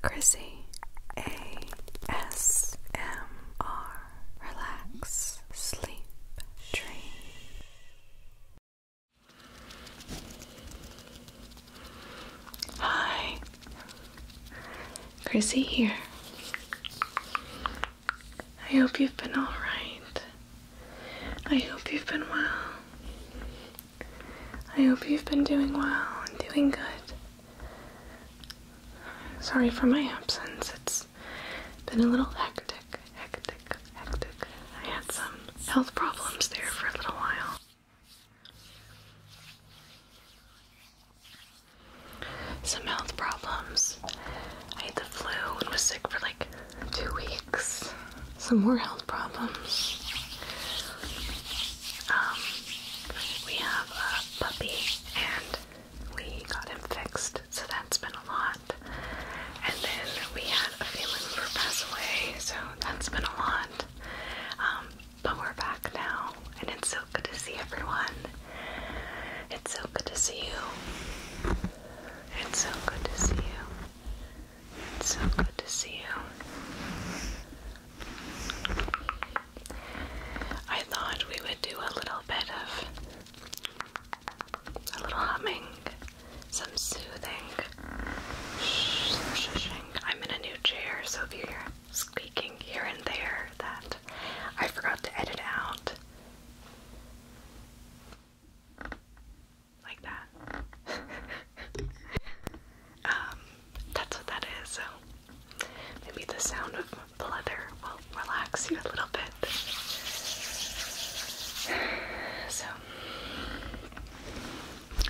Chrissy ASMR Relax Sleep Dream Hi Chrissy here. I hope you've been alright. I hope you've been well. I hope you've been doing well and doing good. Sorry for my absence. It's been a little hectic, hectic, hectic. I had some health problems there for a little while. Some health problems. I had the flu and was sick for like two weeks. Some more health problems. Um, we have a puppy and we got him fixed, so that's been a lot. And then we had a family member pass away, so that's been a lot. Um, but we're back now, and it's so good to see everyone. It's so good to see you. It's so good to see you. It's so good to see you. I thought we would do a little bit of a little humming, some soothing, I'm in a new chair, so if you hear squeaking here and there, that I forgot to edit out. Like that. Um, that's what that is. So maybe the sound of the leather will relax you a little bit. So,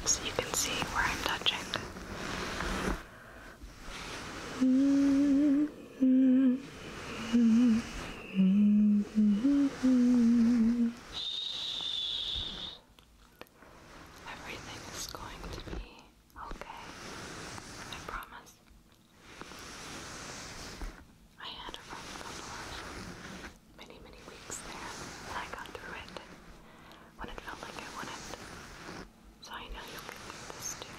so you can see where I'm touching. Everything is going to be okay. I promise. I had a rough couple of many, many weeks there, and I got through it when it felt like I wouldn't. So I know you'll get through this too.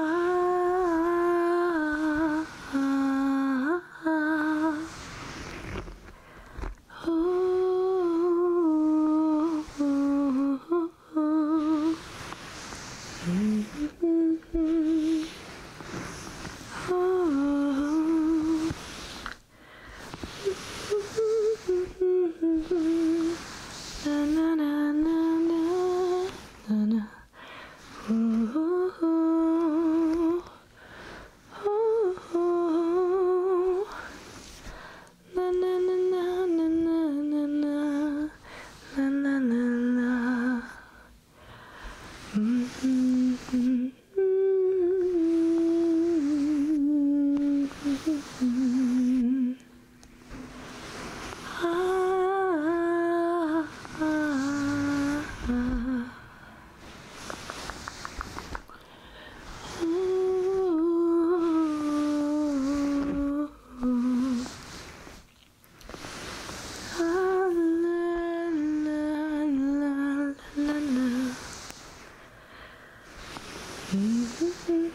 Ah, ah, ah, ah. Ooh, ooh, ooh. -hmm. oh. Na na na na na na. Ooh, ooh, ooh. Na na na na na na na na na na na. Mm -hmm, mm -hmm, mm -hmm. Ah, ah, ah. Ooh, ooh. Ah, la, la, la, la, la. Mm -hmm.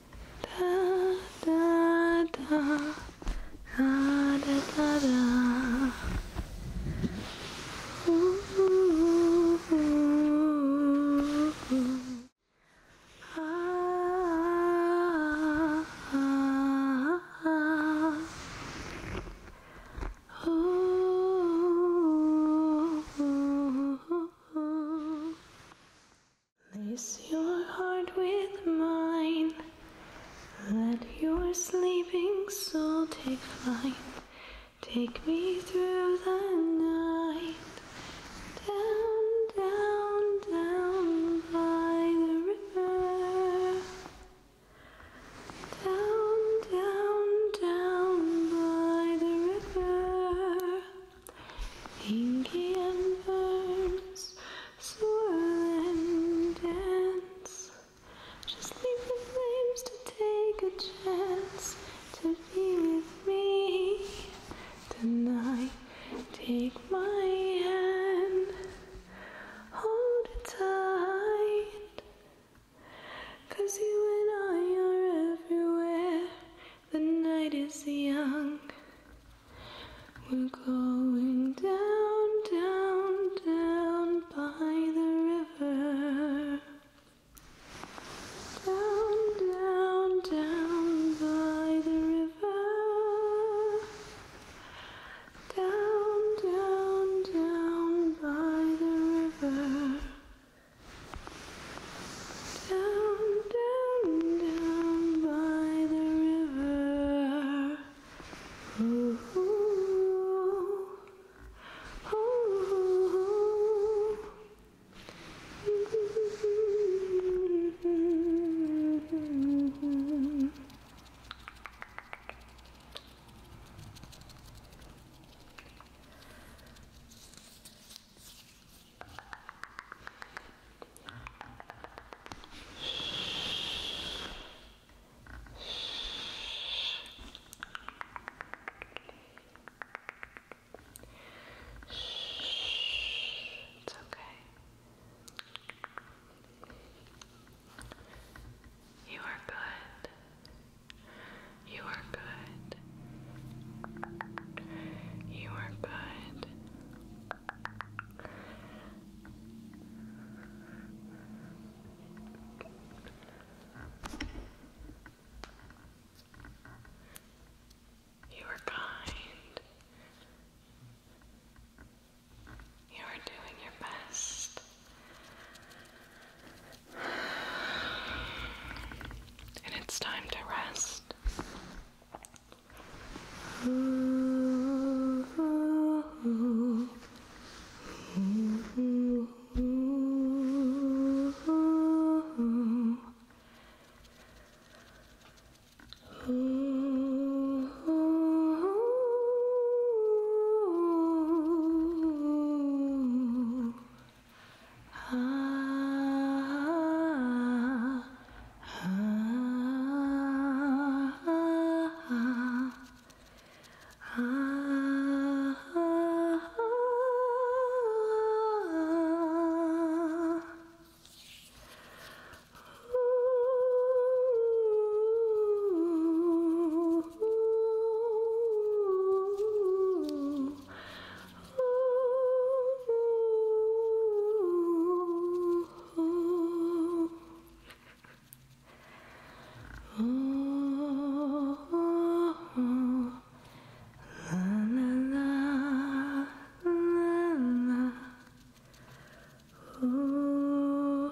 da da da da da da. Ooh, ooh, ooh, ah, ah, ah. Ooh, ooh, ooh, ooh. Lace your heart with mine. Let your sleeping soul take flight. Take me through the night. Down, down, down by the river. Down, down, down by the river. Indian birds swirl and dance. Just leave the flames to take a chance to be with me tonight. Take my hand, hold it tight. you and I are everywhere the night is young. We're going down, down, down by the river. Down, down, down by the river. Down, down, down by the river. Down, down, down by the river. It's okay. You are good. You are good. You are good. You are kind. You are doing your best and it's time to rest. Ah, ah, ah, Ooh, Oh, oh, La, la, la, la, la. Oh,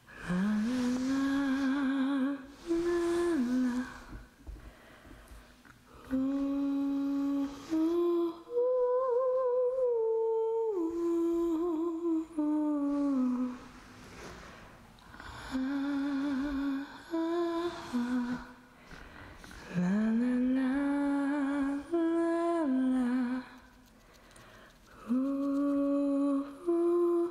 La, la, la, la. Ooh, ooh, ooh, ooh. Ah, ah, ah. La la la la la ooh, ooh,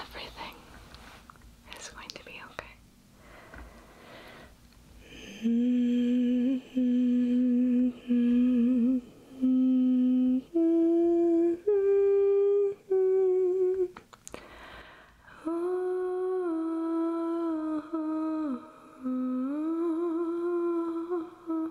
Everything is going to be okay. Everything is going to be okay. Mm -hmm. Mm -hmm. Oh, oh, oh, oh,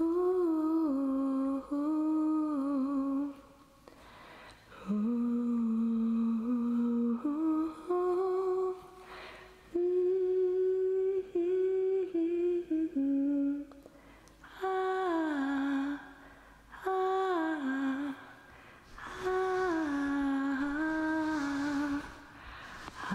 Ooh, ooh, ooh, mm -hmm. ah, ah, ah, ah, ah, ah,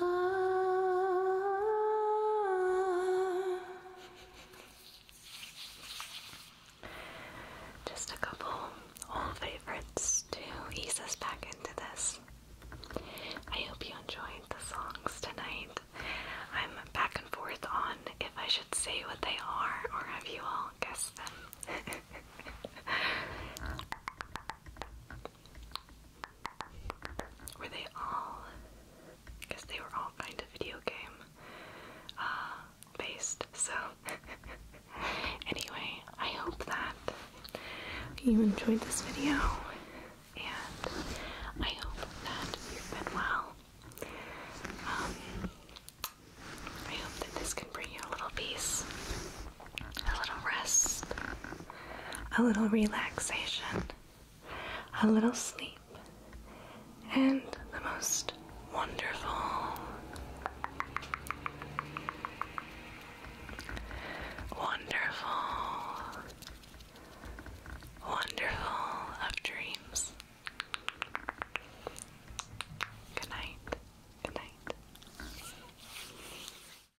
Ah. Just a couple old favorites to ease us back into this. I hope you enjoyed the songs tonight. I'm back and forth on if I should say what they are or have you all guessed them. Were they all? Because they were all kind of video game uh, based. So, anyway, I hope that you enjoyed this video, and I hope that you've been well. Um, I hope that this can bring you a little peace a little rest, a little relaxation, a little sleep, and the most wonderful, wonderful, wonderful of dreams. Good night. Good night.